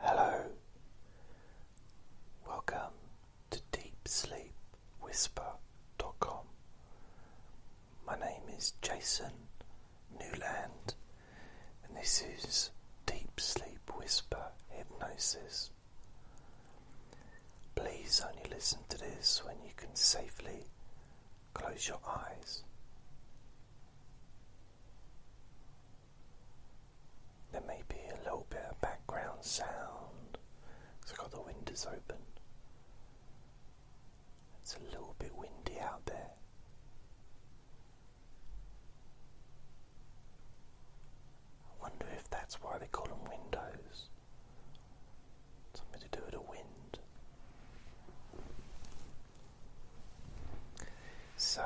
Hello, welcome to Deep Sleep Whisper. dot com. My name is Jason Newland, and this is Deep Sleep Whisper Hypnosis. Please only listen to this when you can safely close your eyes. There may be a little bit of background sound because i got the windows open. It's a little bit windy out there. I wonder if that's why they call them windows. Something to do with the wind. So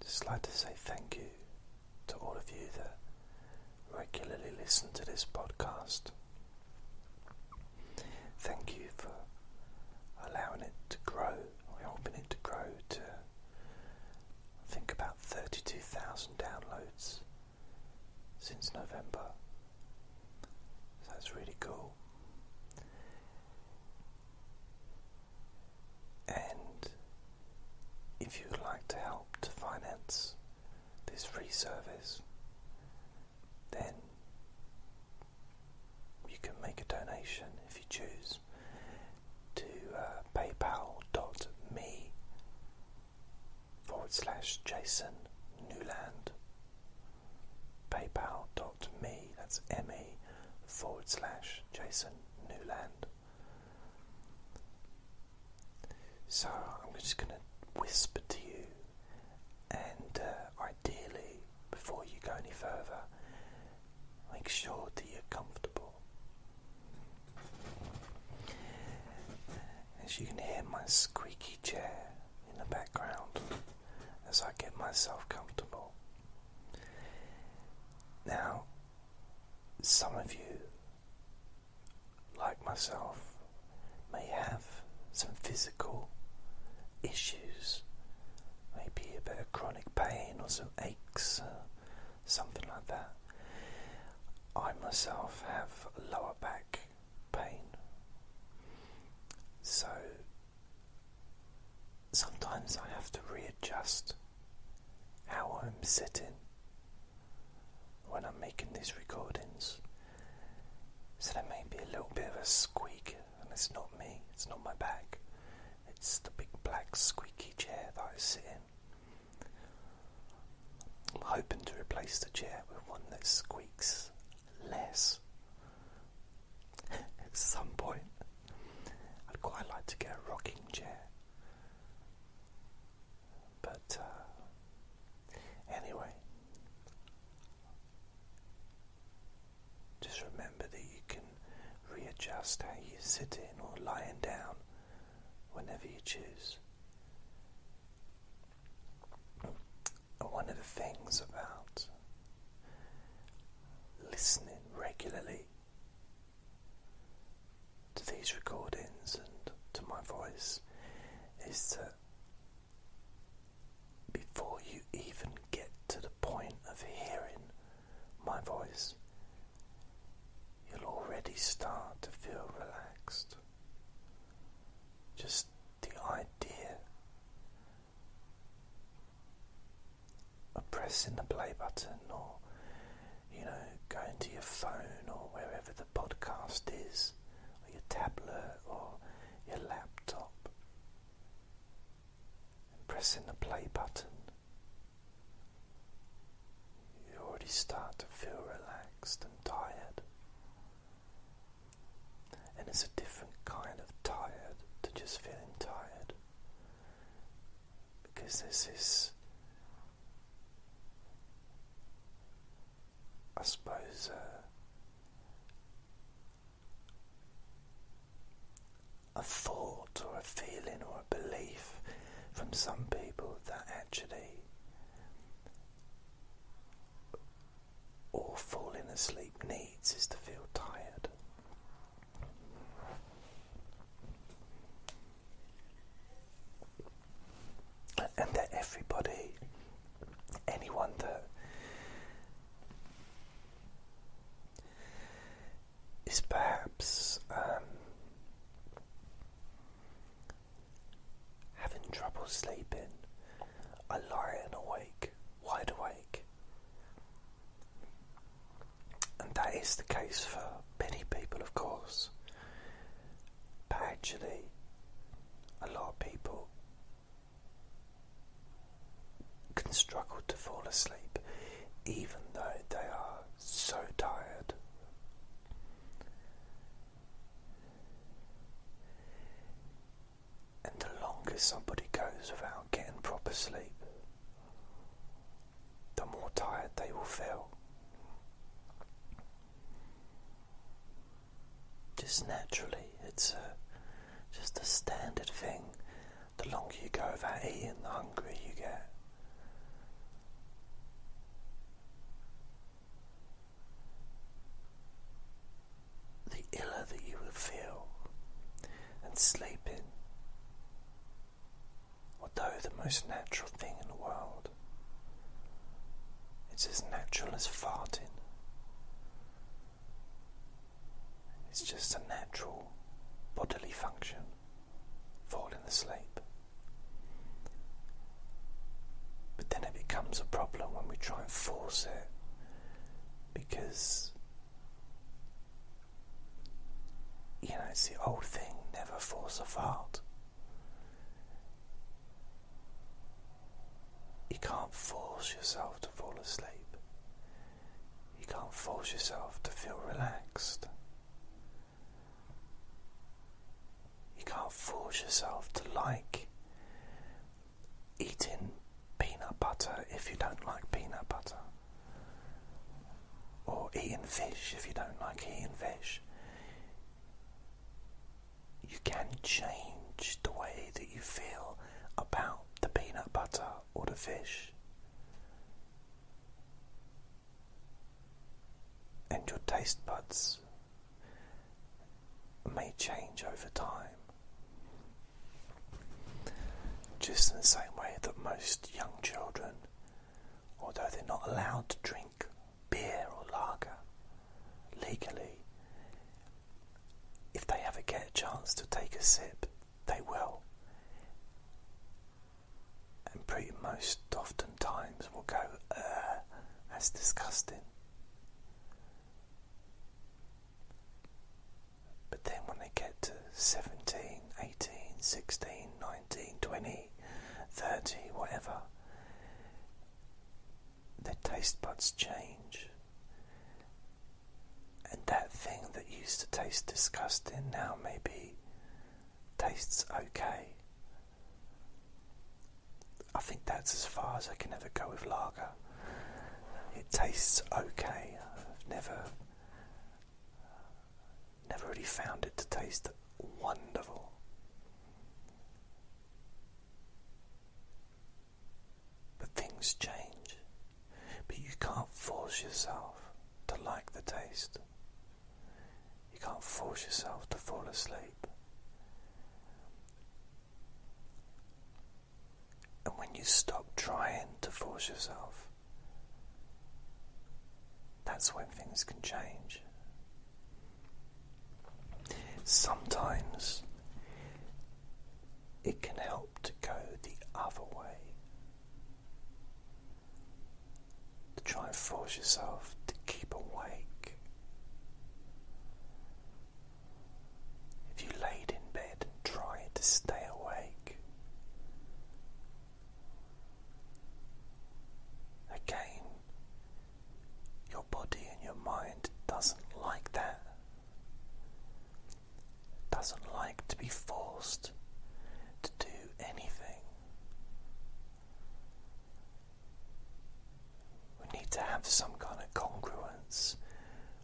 just like to say thank you to all of you that regularly listen to this podcast. Thank you for allowing it to grow, or helping it to grow to I think about 32,000 downloads since November that's really cool. And if you'd like to help to finance this free service, then you can make a donation if you choose to uh, paypal.me forward slash Jason Newland paypal.me, that's me, forward slash Jason Newland. So I'm just going to whisper to you, and uh, ideally, before you go any further, make sure that you're comfortable as you can hear my squeaky chair in the background as I get myself comfortable. Now, some of you, like myself, may have some physical issues, maybe a bit of chronic pain or some aches, something like that. I myself have lower back pain. So sometimes I have to readjust how I'm sitting when I'm making these recordings. So there may be a little bit of a squeak, and it's not me, it's not my back, it's the big black squeaky chair that I sit in. I'm hoping to replace the chair with one that squeaks less at some point. I'd quite like to get a rocking chair. But uh, anyway, just remember that you can readjust how you're sitting or lying down whenever you choose one of the things about listening regularly to these recordings and to my voice is that before you even get to the point of hearing my voice, you'll already start to feel relaxed. Just the idea of pressing the play button or, you know, going to your phone or wherever the podcast is, or your tablet or your laptop, and pressing the play button, you already start to feel relaxed and tired. And it's a different kind of tired to just feeling tired because there's this, I suppose, uh, a thought or a feeling or a belief from some people that actually all falling asleep needs is to feel tired. And that everybody, anyone that is perhaps um, having trouble sleeping. I lie and awake, wide awake. And that is the case for many people, of course. But actually, a lot of people can struggle to fall asleep even though they are so tired. And the longer somebody goes without getting proper sleep, the more tired they will feel. Just naturally, it's just a standard thing. The longer you go without eating, the hungrier you get the iller that you will feel, and sleeping, although the most natural thing in the world, it's as natural as farting. It's just a natural bodily function, falling asleep. But then it becomes a problem when we try and force it because you know it's the old thing never force a fart. You can't force yourself to fall asleep. You can't force yourself to feel relaxed. You can't force yourself to like eating peanut butter if you don't like peanut butter, or eating fish if you don't like eating fish. You can change the way that you feel about the peanut butter or the fish. And your taste buds may change over time. Just in the same way that most young children, although they're not allowed to drink beer or lager legally, if they ever get a chance to take a sip, they will. And pretty most often sometimes we will go, uh, that's disgusting. But then when they get to 17, 18, 16, 19, 20, 30, whatever, their taste buds change. And that thing that used to taste disgusting now maybe tastes okay. I think that's as far as I can ever go with lager. It tastes okay. I've never, never really found it to taste wonderful. But things change, but you can't force yourself to like the taste. You can't force yourself to fall asleep. And when you stop trying to force yourself, that's when things can change. Sometimes it can help to go the other way to try and force yourself to keep awake. If you laid in bed and tried to stay awake, again, your body and your mind doesn't like that. doesn't like to be forced to do anything. We need to have some kind of congruence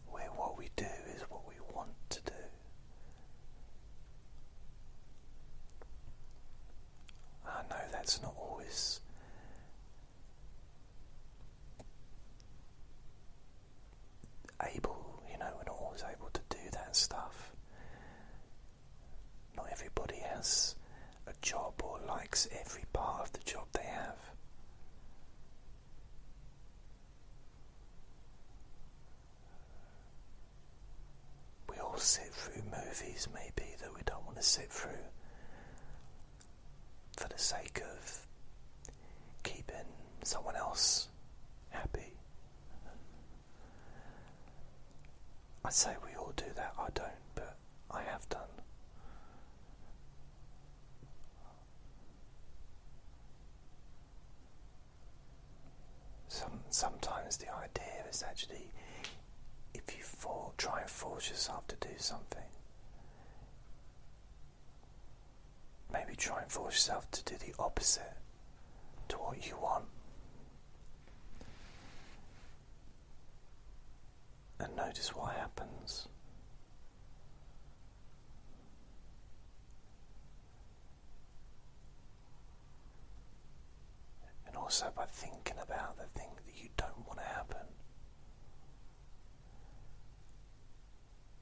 where what we do is what we want to do. I know that's not always able, you know, we always able to do that stuff. Not everybody has a job or likes every part of the job they have. We all sit through movies, maybe, that we don't want to sit through for the sake of keeping someone else happy I say we all do that, I don't, but I have done. Some, sometimes the idea is actually if you for, try and force yourself to do something, maybe try and force yourself to do the opposite to what you want. And notice what happens. And also by thinking about the thing that you don't want to happen.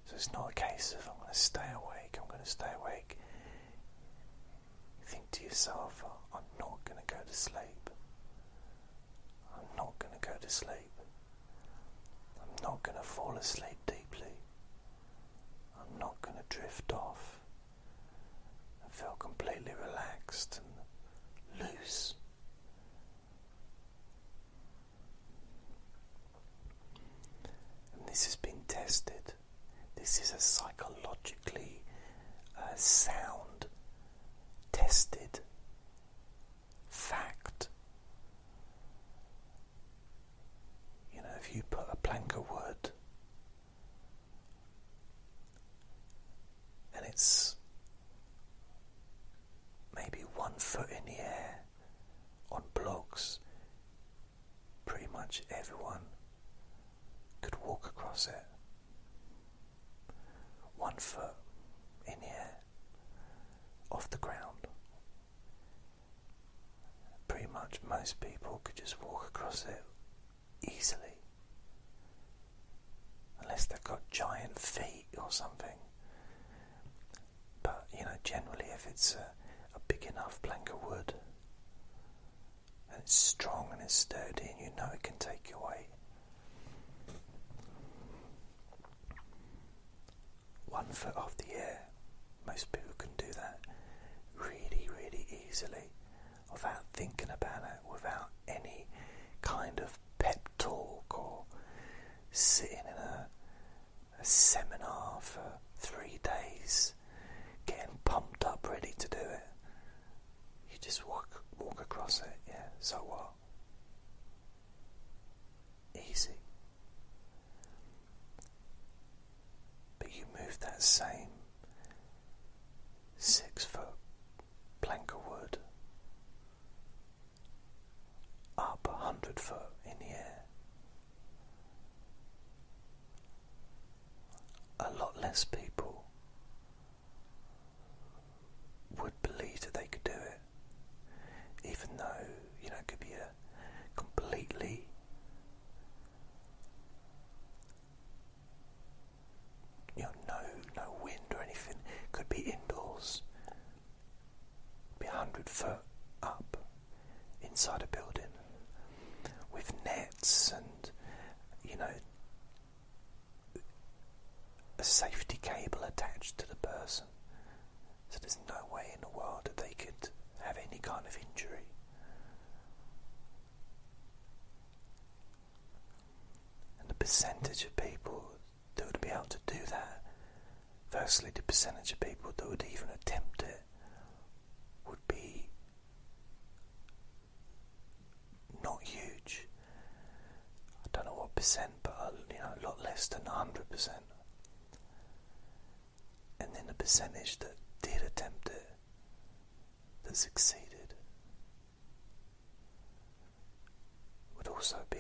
So it's not a case of I'm going to stay awake, I'm going to stay awake. You think to yourself, oh, I'm not going to go to sleep. I'm not going to go to sleep. I'm not going to fall asleep deeply. I'm not going to drift off and feel completely relaxed and loose. And this has been tested this is a psychologically uh, sound, tested fact. You know, if you put a plank of wood and it's maybe one foot in the air on blocks, pretty much everyone could walk across it. One foot in the air, off the ground. Pretty much most people could just walk across it easily. Unless they've got giant feet or something. But you know, generally, if it's a, a big enough plank of wood, and it's strong and it's sturdy, and you know it can take your weight. One foot off the air, most people can do that really, really easily without thinking about it, without any kind of pep talk or sitting in a, a seminar for three days getting pumped up, ready to do it. You just walk walk across it, yeah. So what? Easy. But you move that same six foot plank of wood up a hundred foot in the air a lot less people would believe that they could do it, even though you know it could be a completely you know no no wind or anything. could be indoors, be a hundred foot up, inside a building with nets and, you know, a safety cable attached to the person. So there's no way in the world that they could have any kind of injury. And the percentage of people that would be able to do that, firstly, the percentage of people that would even attempt it, would be not huge. I don't know what percent, but uh, you know, a lot less than 100%. And then the percentage that did attempt it, that succeeded, would also be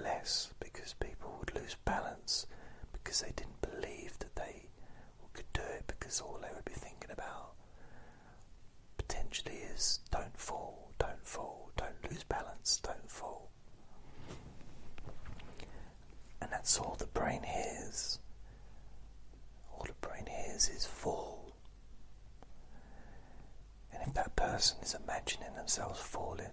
less because people would lose balance because they didn't believe that they could do it because all they would be thinking about potentially is don't fall, don't fall, don't lose balance, don't fall. And that's all the brain hears. All the brain hears is fall. And if that person is imagining themselves falling,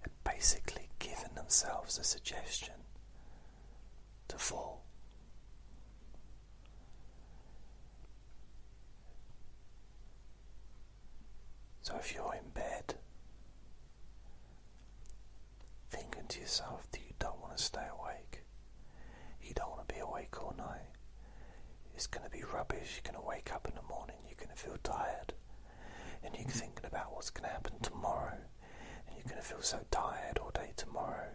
had basically given themselves a suggestion to fall. So if you're in bed, thinking to yourself that you don't want to stay awake, you don't want to be awake all night, it's going to be rubbish, you're going to wake up in the morning, you're going to feel tired, and you're thinking about what's going to happen tomorrow, and you're going to feel so tired all day tomorrow.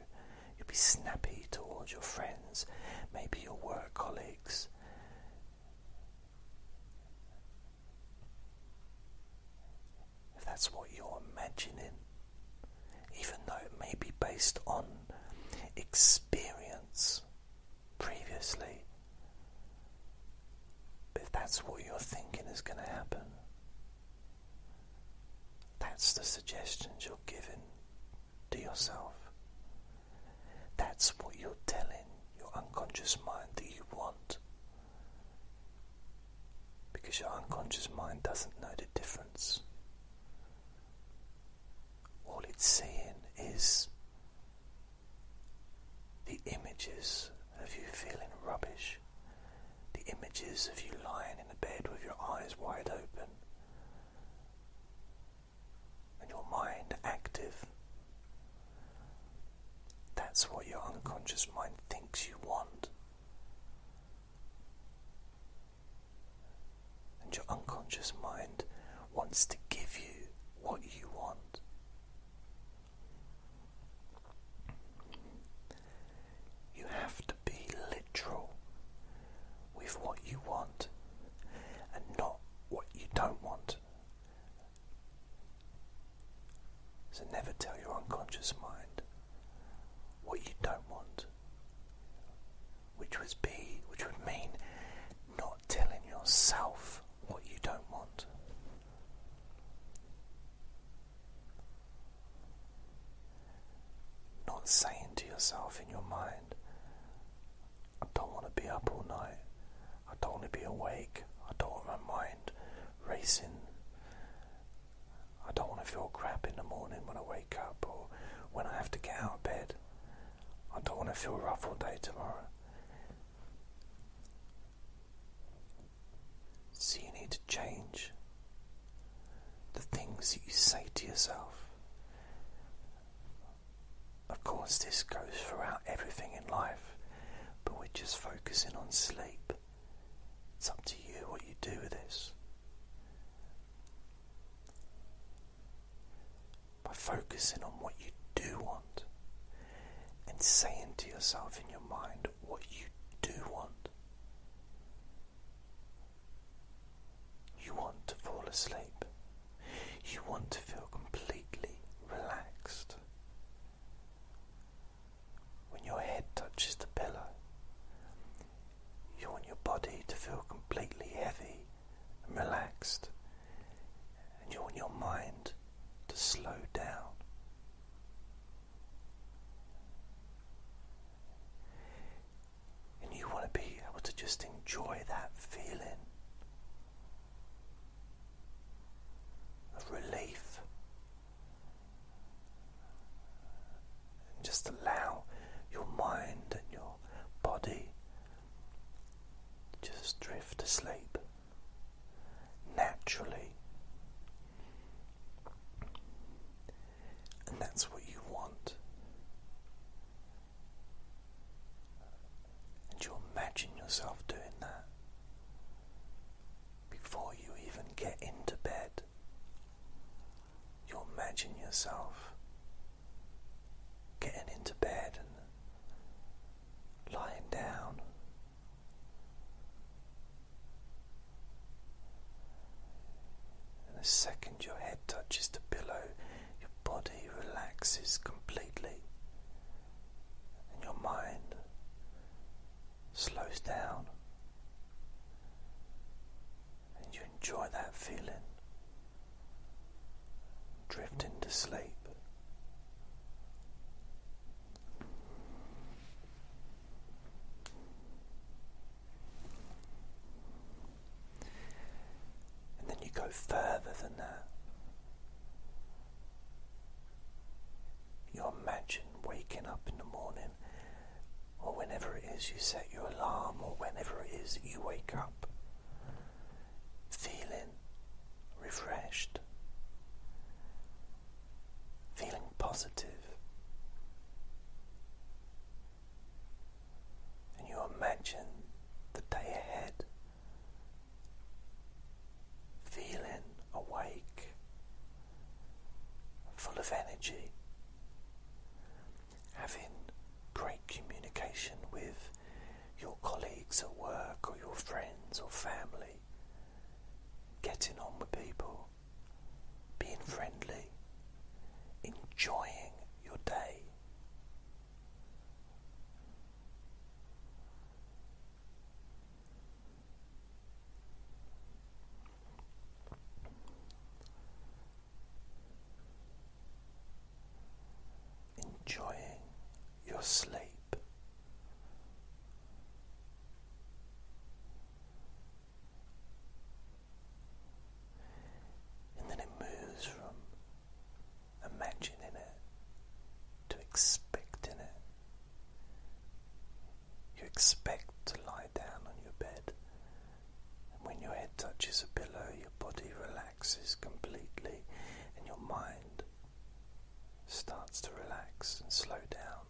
You'll be snappy towards your friends, maybe your work colleagues. If that's what you're imagining, even though it may be based on experience previously. if that's what you're thinking is going to happen, that's the suggestions you're giving to yourself. That's what you're telling your unconscious mind that you want. Because your unconscious mind doesn't know the difference. All it's seeing is the images of you feeling rubbish, the images of you lying in the bed with your eyes wide open, and your mind active. That's what your unconscious mind thinks you want. And your unconscious mind wants to give you what you want. You have to be literal with what you want and not what you don't want. So never tell your unconscious mind what you don't want. Which would be which would mean not telling yourself what you don't want. Not saying to yourself in your mind, I don't want to be up all night, I don't want to be awake, I don't want my mind racing, I don't want to feel crap in the morning when I wake up or when I have to get out of bed, I don't want to feel rough all day tomorrow. So, you need to change the things that you say to yourself. Of course, this goes throughout everything in life, but we're just focusing on sleep. It's up to you what you do with this by focusing on what you do want and saying to yourself in your mind what you do want. You want to fall asleep. You want to feel completely relaxed. When your head touches the pillow, you want your body to feel completely heavy and relaxed and you want your mind to slow down. And you want to be able to just enjoy that feeling of relief. And just allow your mind and your body just drift to sleep naturally. And that's what you want. And you imagine yourself doing that before you even get into bed. You imagine yourself getting into bed and lying down. And the second your head touches the pillow, your body relaxes completely and your mind slows down. And you enjoy that feeling drift into sleep. And then you go further than that. You imagine waking up in the morning, or whenever it is you set your alarm, or whenever it is that you wake up, feeling refreshed, feeling positive. And you imagine the day ahead, feeling awake, full of energy, having great communication with your colleagues at work or your friends or family, getting on with people, being friendly, enjoying your day enjoying your sleep. And then it moves from imagining it to expecting it. You expect to lie down on your bed when your head touches a pillow, your body relaxes completely and your mind starts to relax and slow down.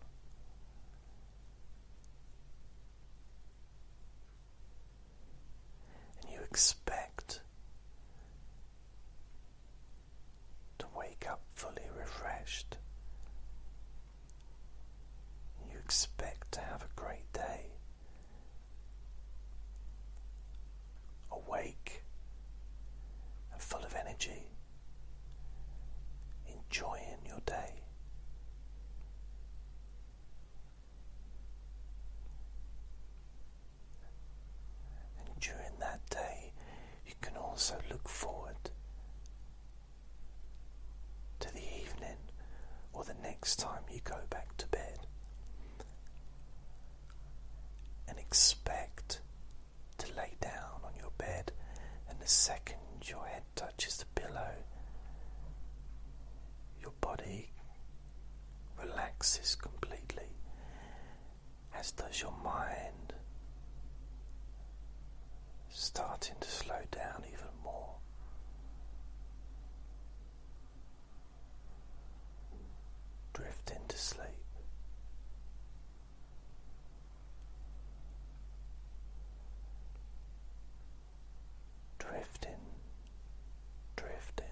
And you expect to wake up fully refreshed. You expect to have a great day awake and full of energy, enjoying your day. And during that day, you can also look forward to the evening or the next time you go back to bed and expect to lay down on your bed, and the second your head touches the pillow, your body relaxes completely, as does your mind, starting to slow down even more drift into sleep. Drifting, drifting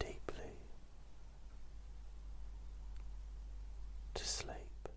deeply to sleep.